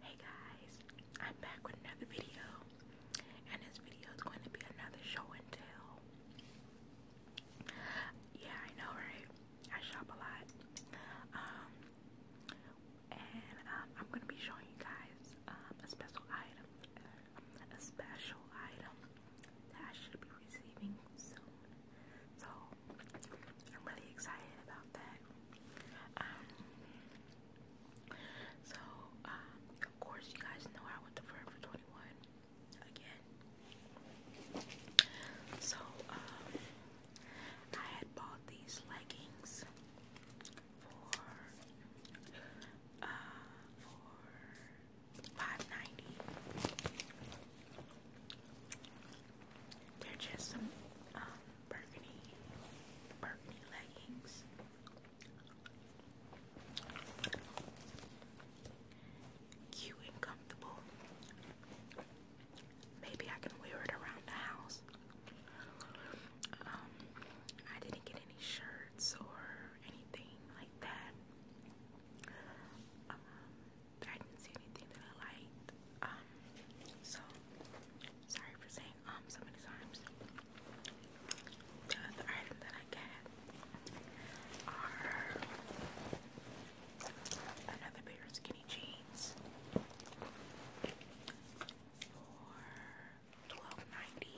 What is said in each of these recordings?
Hey guys, I'm back with another video, and this video is going to be another show and tell. Yeah, I know, right? I shop a lot, um, and um, I'm going to be showing you guys um, a special item, a special item that I should be receiving soon. So, I'm really excited about that. Um, so, um, of course, you guys know I went to Forever 21 again. So, um, I had bought these leggings for, uh, for 5 They're just some, burgundy, burgundy leggings. Cute and comfortable. Maybe I can wear it around the house. Um, I didn't get any shirts or anything like that. Um, I didn't see anything that I liked. Um, so sorry for saying um so many times. The other item that I got are another pair of skinny jeans for twelve ninety.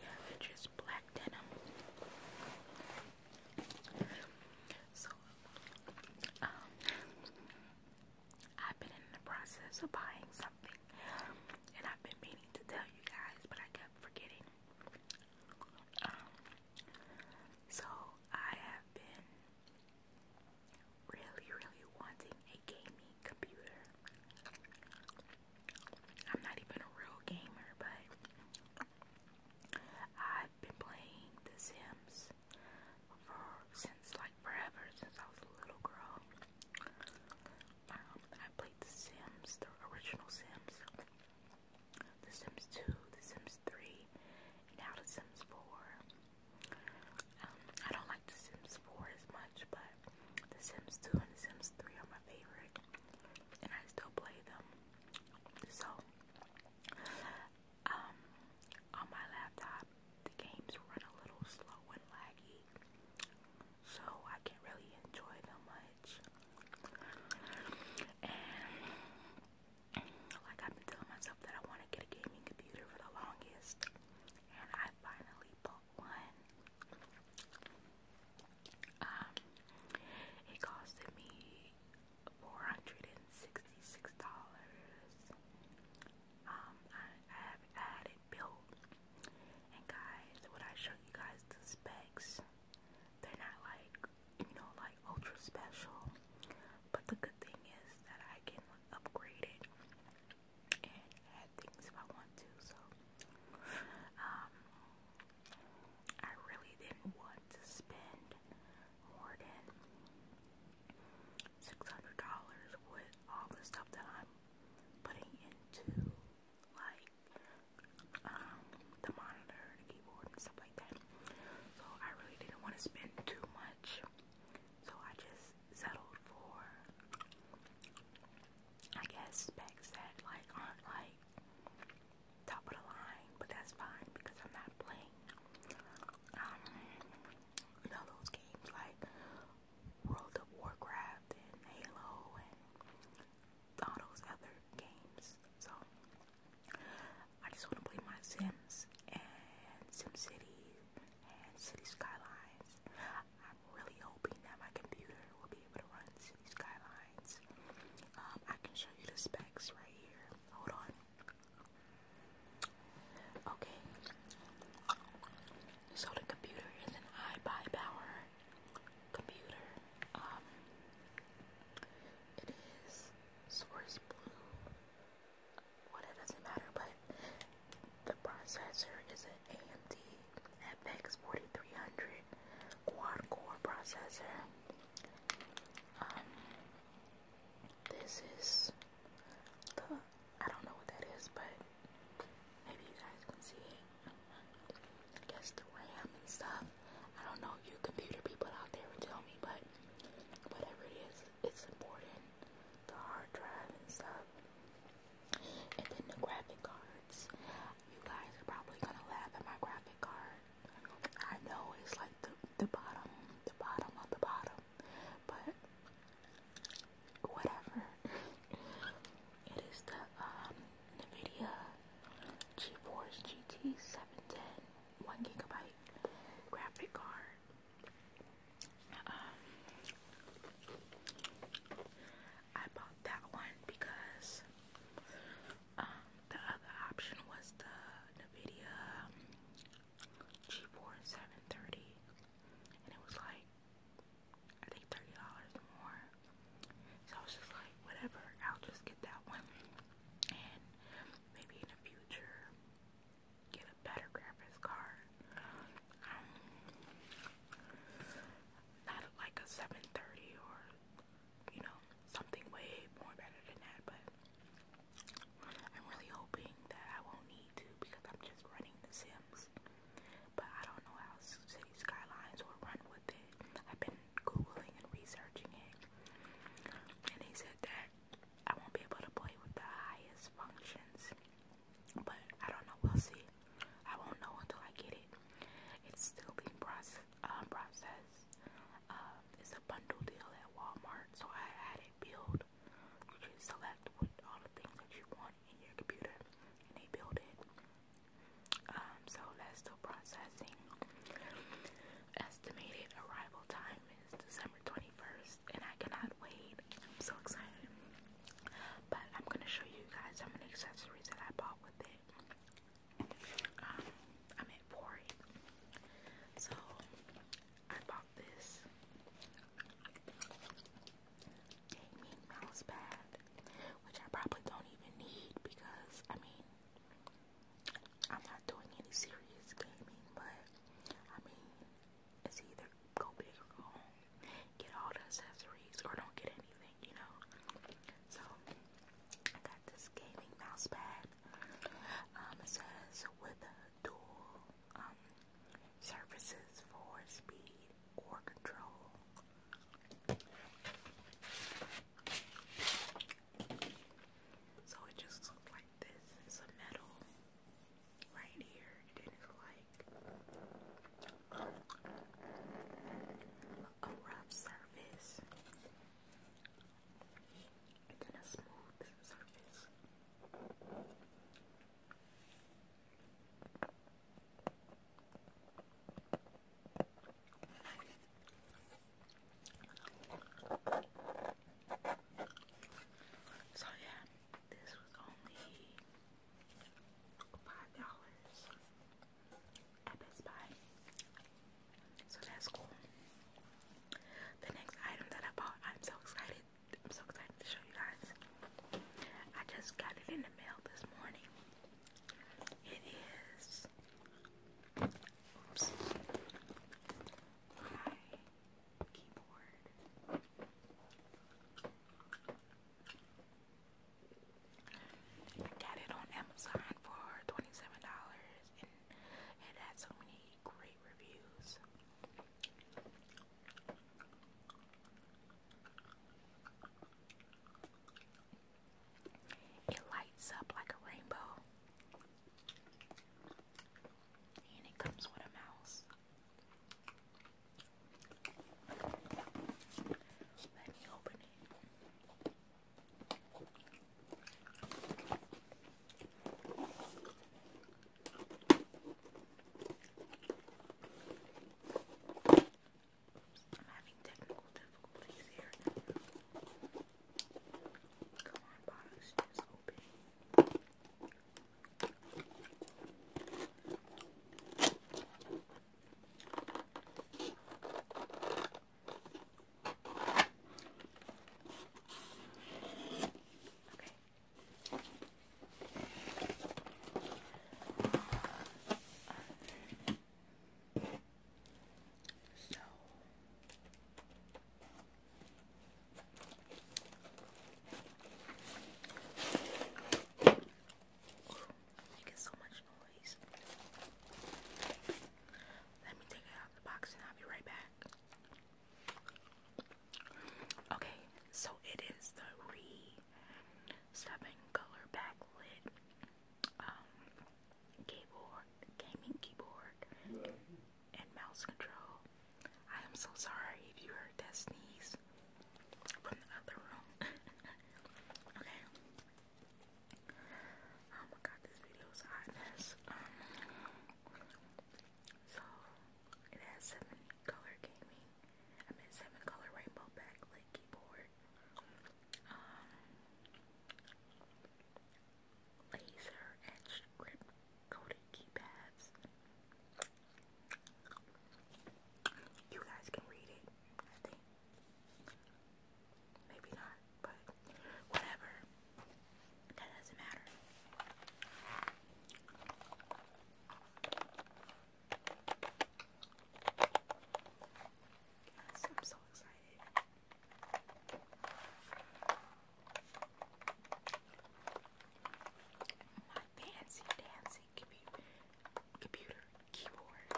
Yeah, they're just black denim. So, um, I've been in the process of buying something, and I've been meaning to tell you guys, but I kept forgetting. Um, so I have been really, really wanting a gaming computer. I'm not even a real gamer, but I've been playing The Sims for since like forever, since I was a little girl. Um, I played The Sims, the original Sims, The Sims 2, The Sims 3, and now The Sims 4. Um, I don't like The Sims 4 as much, but The Sims 2 and The Sims 3 are my favorite, and I still play them. So, um, on my laptop, the games run a little slow and laggy, so I can't really enjoy them much. And like I've been telling myself that I want to get a gaming computer for the longest, and I finally bought one. Um, it costed me four hundred and sixty-six dollars. Um, I, have had it built, and guys, when I show you guys the specs, they're not like you know like ultra special. But the good thing is that I can upgrade it and add things if I want to. So, um, I really didn't want to spend more than $600 with all the stuff that I'm putting into, like, um, the monitor, the keyboard, and stuff like that. So I really didn't want to spend too much. So I just settled for I guess specs that like aren't like top of the line, but that's fine because I'm not playing um you know those games like World of Warcraft and Halo and all those other games. So I just want to play my Sims and SimCity and City Skylines. I'm really hoping that my computer will be able to run City Skylines. Um, I can show you the specs right here. Hold on. Okay. So the computer is an iBuyPower computer. Um, it is Source Blue. doesn't matter, but the processor is an AMD FX 4300 quad core processor. Um, this is the I don't know what that is, but maybe you guys can see I guess the RAM and stuff. I don't know you computer people out there would tell me, but whatever it is, it's important. The hard drive and stuff. And then the graphic cards. You guys are probably gonna laugh at my graphic card. I know it's like the the bottom, the bottom of the bottom. But whatever. it is the um NVIDIA GeForce GT seven ten one gigabyte graphic card. Um, I bought that one because um, the other option was the NVIDIA G4730, and it was like I think thirty dollars more. So I was just like, whatever, I'll just get that one and maybe in the future get a better graphics card. Um, not like a 730 or you know something way more better than that, but I'm really hoping that I won't need to because I'm just running The Sims. But I don't know how City Skylines will run with it. I've been googling and researching it, and he said that I won't be able to play with the highest functions, but I don't know. We'll see. I won't know until I get it. It's still being process, uh, processed. Uh, it's a bundle deal at Walmart, so I had it build. You can select what all the things that you want in your computer, and they build it. Um, so that's still processing. Estimated arrival time is December 21st, and I cannot wait. I'm so excited. But I'm gonna show you guys some accessories that I bought with it. Um, I meant for So I bought this gaming mouse pad, which I probably don't even need because I mean I'm not doing any serious gaming, but I mean, it's either go big or go home. Get all the accessories or don't get anything, you know. So I got this gaming mouse pad. Um, it says with a dual um, surfaces for speed or control. So it just looks like this. It's a metal right here. And it's like uh, a rough surface. And then a smooth surface. So yeah, this was only five dollars at Best Buy. So that's cool. The next item that I bought, I'm so excited. I'm so excited to show you guys. I just got it in the mail this morning. It is. Oops. keyboard. I got it on Amazon for twenty-seven dollars, and it had so many great reviews. It lights up like a rainbow. And it comes with a mouse. Let me open it. I'm having technical difficulties here. Come on, box, just open. Um, so making so much noise. Let me take it out of the box and I'll be right back. Okay, so it is the re seven color backlit um, keyboard, gaming keyboard, and mouse control. I am so sorry if you heard that sneeze from the other room. okay. Oh my god, this video is a um, so, it has seven color gaming I'm in seven color rainbow backlit keyboard. Um, laser edged grip coated keypads. You guys can read it, Maybe not, but whatever. That doesn't matter. Yes, I'm so excited. My fancy dancy computer computer keyboard.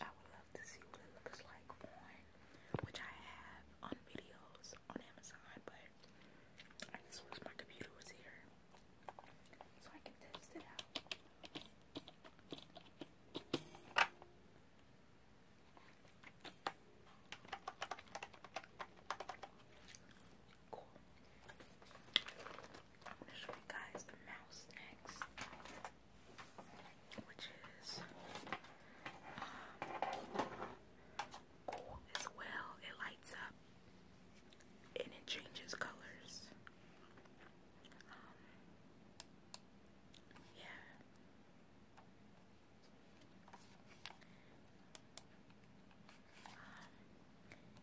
I would love to see what it looks like on, which I have on videos on Amazon, but I just wish my computer was here so I can test it out. Cool. I'm gonna show you guys the mouse next, which is um, cool as well. It lights up and it changes colors. Um, yeah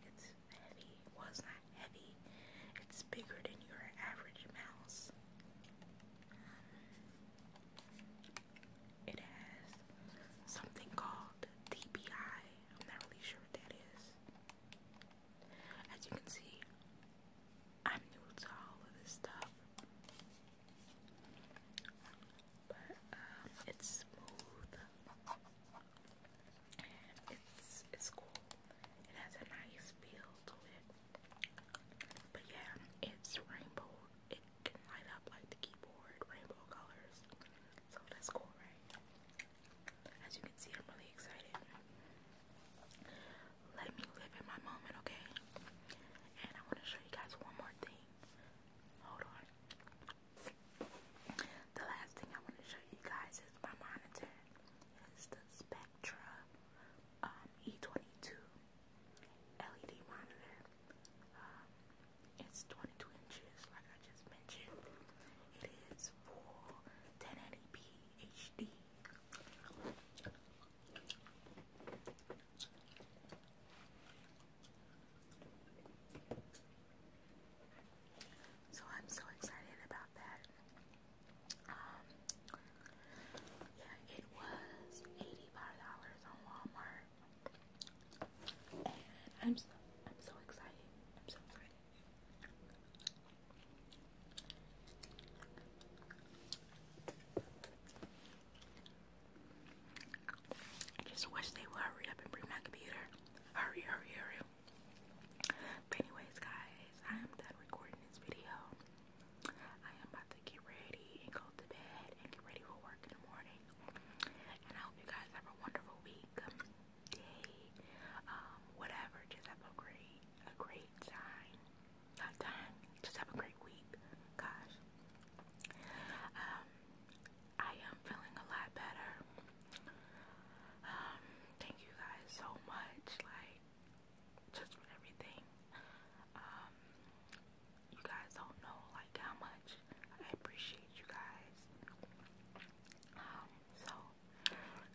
it's heavy. Well, not heavy. It's bigger than your average mouse. It has something called DPI. I'm not really sure what that is. As you can see, I'm new to all of this stuff. But um, it's smooth. It's it's cool. It has a nice feel to it. But yeah, it's rainbow. It can light up like the keyboard, rainbow colors. So that's cool, right? As you can see, I'm really excited. Let me live in my moment, okay? And I want to show you guys one more thing. Hold on. The last thing I want to show you guys is my monitor. It's the Spectra um, E22 LED monitor. Um, it's 22 inches, like I just mentioned. It is full 1080p HD. So I'm so excited about that. Um, yeah, it was $85 on Walmart. And I'm I'm so excited. I'm so excited. I just wish they would hurry up and bring my computer. Hurry, hurry, hurry. But anyways, guys, I am done recording this video. I am about to get ready and go to bed and get ready for work in the morning. And I hope you guys have a wonderful week, um, day, um, whatever. Just have a great, a great time. time. Just have a great week. Gosh. I am feeling a lot better. Um, thank you guys so much, like, just for everything. Um, you guys don't know, like, how much I appreciate you guys. Um, so,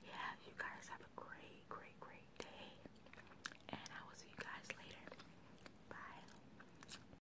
yeah, you guys have a great, great, great day. And I will see you guys later. Bye.